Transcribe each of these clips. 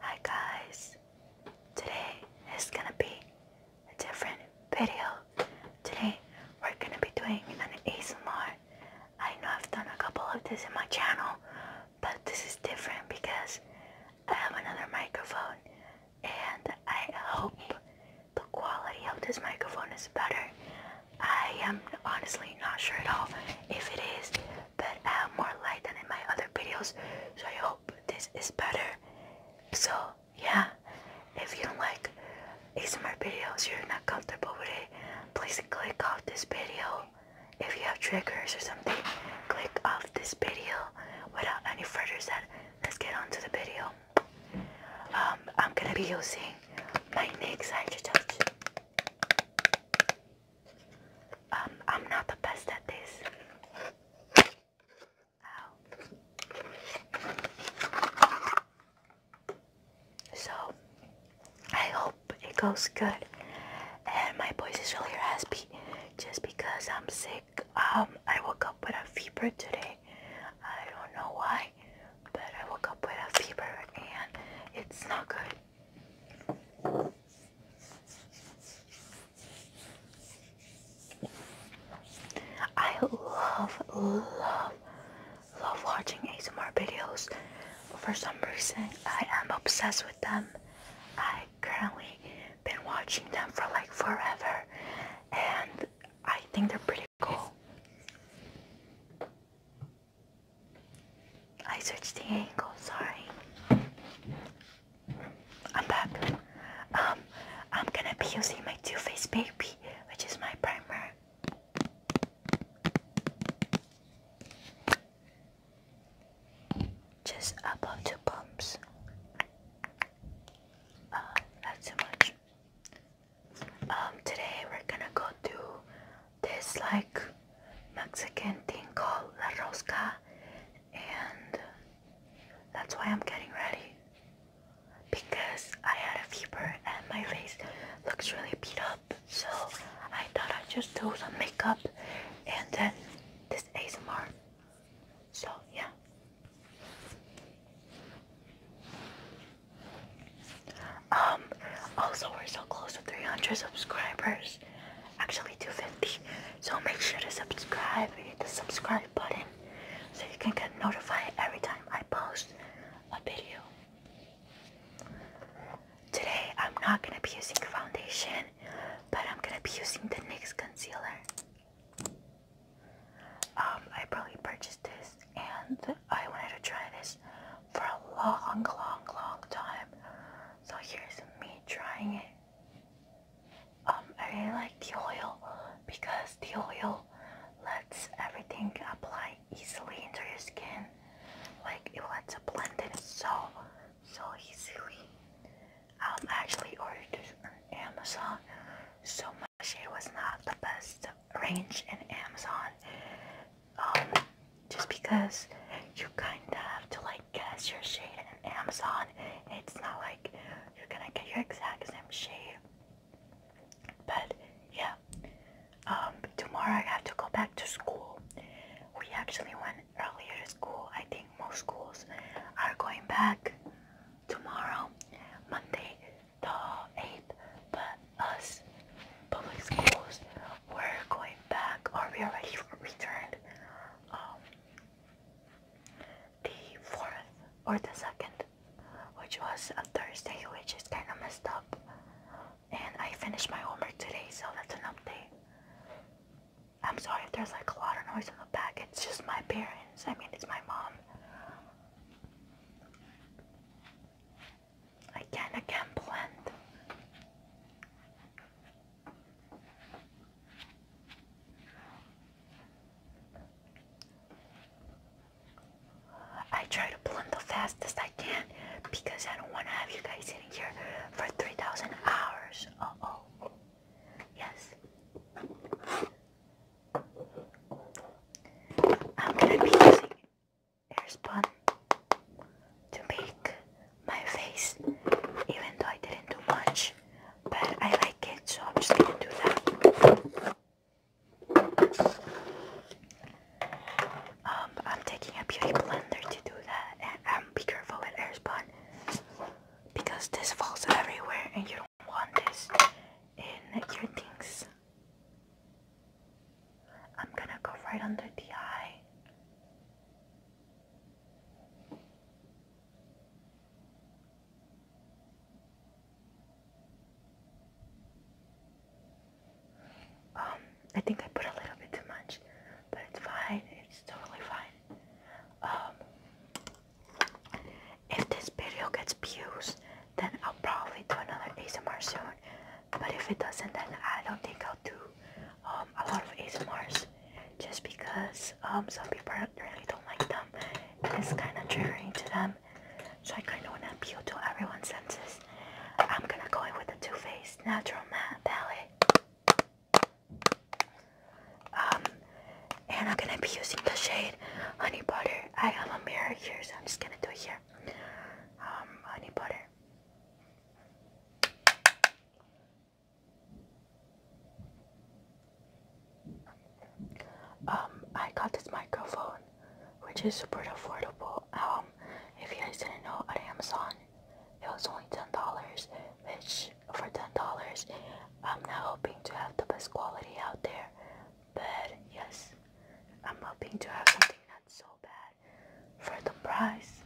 Hi guys, today is gonna be a different video. Today we're gonna be doing an ASMR. I know I've done a couple of these in my channel, but this is different because I have another microphone and I hope the quality of this microphone is better. I am honestly not sure at all if it is, but I have more light than in my other videos, so I hope this is better. So yeah, if you don't like ASMR videos, you're not comfortable with it, please click off this video. If you have triggers or something, click off this video. Without any further said, let's get onto the video. Um, I'm gonna be using my NYX Hydro Touch. Um, I'm not the best at this. So, I hope it goes good. And my voice is really raspy just because I'm sick. Um, I woke up with a fever today. I don't know why, but I woke up with a fever and it's not good. I love, love, love watching ASMR videos. For some reason, I am obsessed with them. I currently been watching them for like forever and I think they're pretty Cool. I switched the angle, sorry. I'm back. Um, I'm gonna be using my Too Faced Baby, which is my primer. Just above two pumps. Uh, not too much um today we're gonna go do this like Mexican thing called La Rosca and that's why I'm getting ready because I had a fever and my face looks really beat up so I thought I'd just do some makeup and then this ASMR so, yeah. Um, also, we're so close to 300 subscribers. Actually, 250. So, make sure to subscribe. Hit the subscribe button so you can get notified every time I post a video. Today, I'm not going to be using foundation, but I'm going to be using the NYX concealer. Um, I probably purchased this and I wanted to try this for a long, long, long time. So here's me trying it. Um, I really like the oil because the oil lets everything apply easily into your skin. Like it lets it blend in so, so easily. I'm actually ordered this on Amazon so much. shade was not the best range in Amazon. Um, just because you kind of have to like guess your shade in Amazon. It's not like you're gonna get your exact same shade. But yeah, um, tomorrow I have to go back to school. We actually went earlier to school. I think most schools are going back tomorrow, Monday the 8th, but us public schools, we're going back, or we already returned um, the 4th or the 2nd, which was a Thursday, which is kind of messed up. And I finished my homework today, so that's an update. I'm sorry if there's like a lot of noise in the back. It's just my parents. I mean, it's my mom. I I can't blend. I try to blend the fastest I can because I don't want to have you guys here for 3,000 hours. Uh oh. Yes. I'm gonna be using air spun to make my face, even though I didn't do much, but I like it, so I'm just gonna do that. Um, I'm taking a beauty blender to do that, and um, be careful with air spun because this falls everywhere and you don't want this in your things. I'm gonna go right under the eye. Um, I think I put a little bit too much, but it's fine. It's totally fine. Um, if this video gets views, then I'll probably do another ASMR soon. But if it doesn't, then I don't think I'll do um, a lot of ASMRs just because um, some people really don't like them. it's kind of triggering to them. So I kind of want to appeal to everyone's senses. I'm gonna go in with the Too Faced Natural Matte Palette. Um, and I'm gonna be using the shade Honey Butter. I have a mirror here, so I'm just gonna do it here. Um, Honey Butter. Um, I got this microphone, which is super affordable. Um, if you guys didn't know, on Amazon, it was only ten dollars, which for ten dollars, I'm not hoping to have the best quality out there, but yes, I'm hoping to have something that's so bad for the price.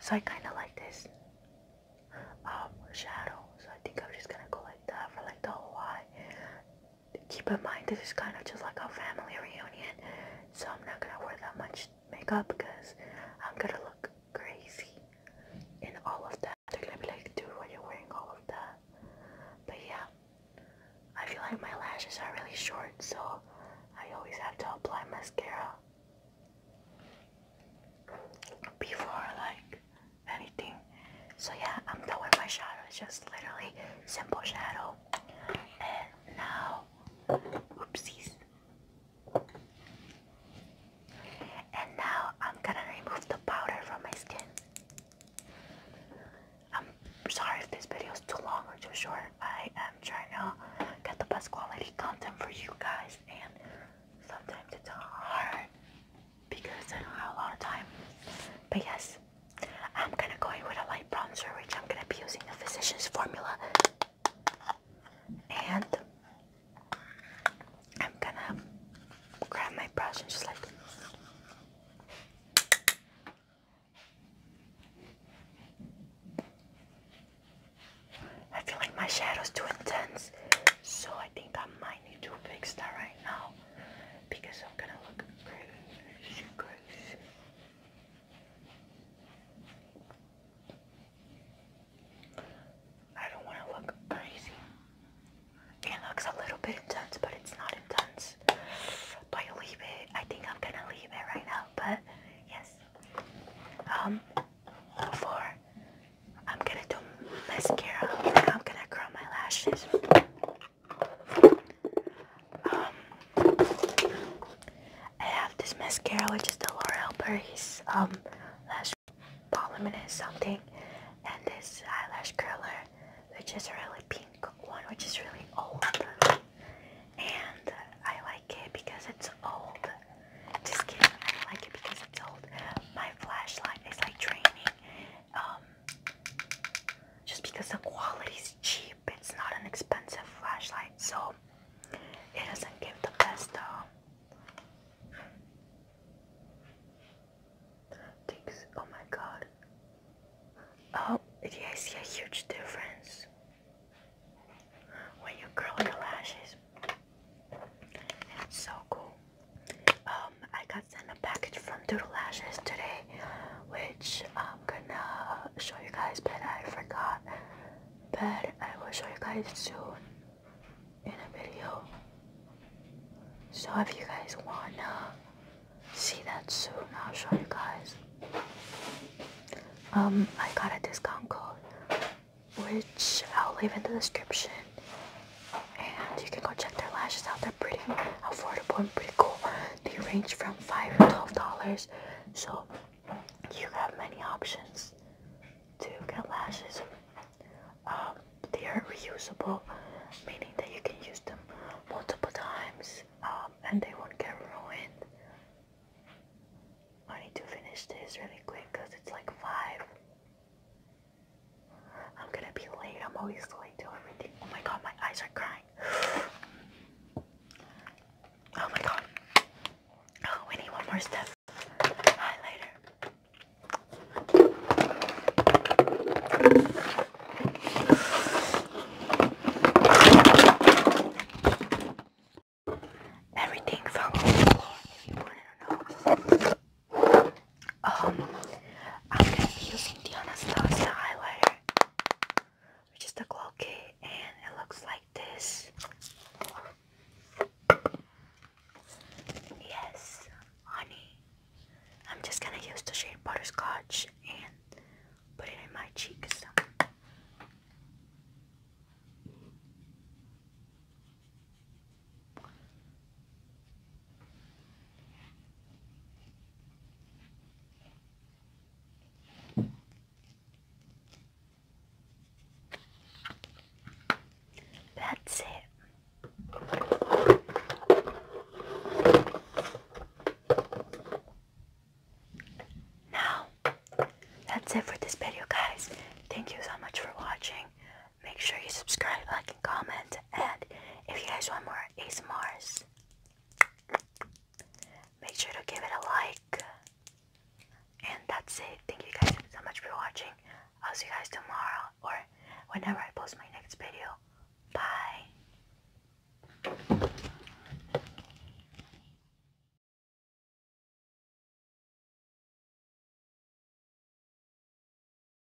So I kind of like this um, shadow. So I think I'm just gonna go like that for like the whole Keep in mind, this is kind of just like a family reunion, so I'm not gonna wear that much makeup because I'm gonna look crazy in all of that. They're gonna be like, dude, why are wearing all of that? But yeah, I feel like my lashes are really short, so I always have to apply mascara before like anything. So yeah, I'm done my shadow. just literally simple shadow. And now, oopsies. And now I'm gonna remove the powder from my skin. I'm sorry if this video is too long or too short. I am trying to get the best quality content for you guys and sometimes it's hard because I have a lot of time. But yes, I'm gonna go in with a light bronzer which I'm gonna be using the Physicians Formula and I'm gonna grab my brush and just like I feel like my shadow's too intense, so I think I might need to fix that right now because I'm gonna look crazy, crazy. I don't want to look crazy. It looks a little bit intense, but it's not intense. Do I leave it? I think I'm gonna leave it right now, but yes. Um, before I'm gonna do mascara, I'm gonna curl my lashes. Um, I have this mascara, which is the L'Oreal Paris um, Lash Balm and something, and this eyelash curler, which is a really pink one, which is really old. And I like it because it's old. Just kidding, I like it because it's old. My flashlight is like draining. Um, just because the quality is cheap it's not an expensive flashlight, so it doesn't give the best uh, Oh my god. Oh, yeah, I see a huge difference when you curl your lashes. It's so cool. Um, I got sent a package from Doodle Lashes today, which uh, I'm going show you guys, but I forgot. But I will show you guys soon in a video. So if you guys wanna see that soon, I'll show you guys. Um, I got a discount code, which I'll leave in the description. And you can go check their lashes out. They're pretty affordable and pretty cool. They range from around dollars. So you have many options to get lashes. Um, they are reusable, meaning that you can use them multiple times um, and they won't get ruined. I need to finish this really quick because it's like five. I'm gonna be late. I'm always late to everything. Oh my god, my eyes are crying. Oh my god. Oh, we need one more step. Highlighter. Everything fell on Um I'm going to be using the Anastasia highlighter, which is the glow kit, and it looks like this. Yes, honey. I'm just going to use the shade Butterscotch and put it in my cheeks. That's it. Now, that's it for this video, guys. Thank you so much for watching. Make sure you subscribe, like, and comment. And If you guys want more ASMRs, make sure to give it a like. And that's it. Thank you guys so much for watching. I'll see you guys tomorrow or whenever I post my next video. Bye.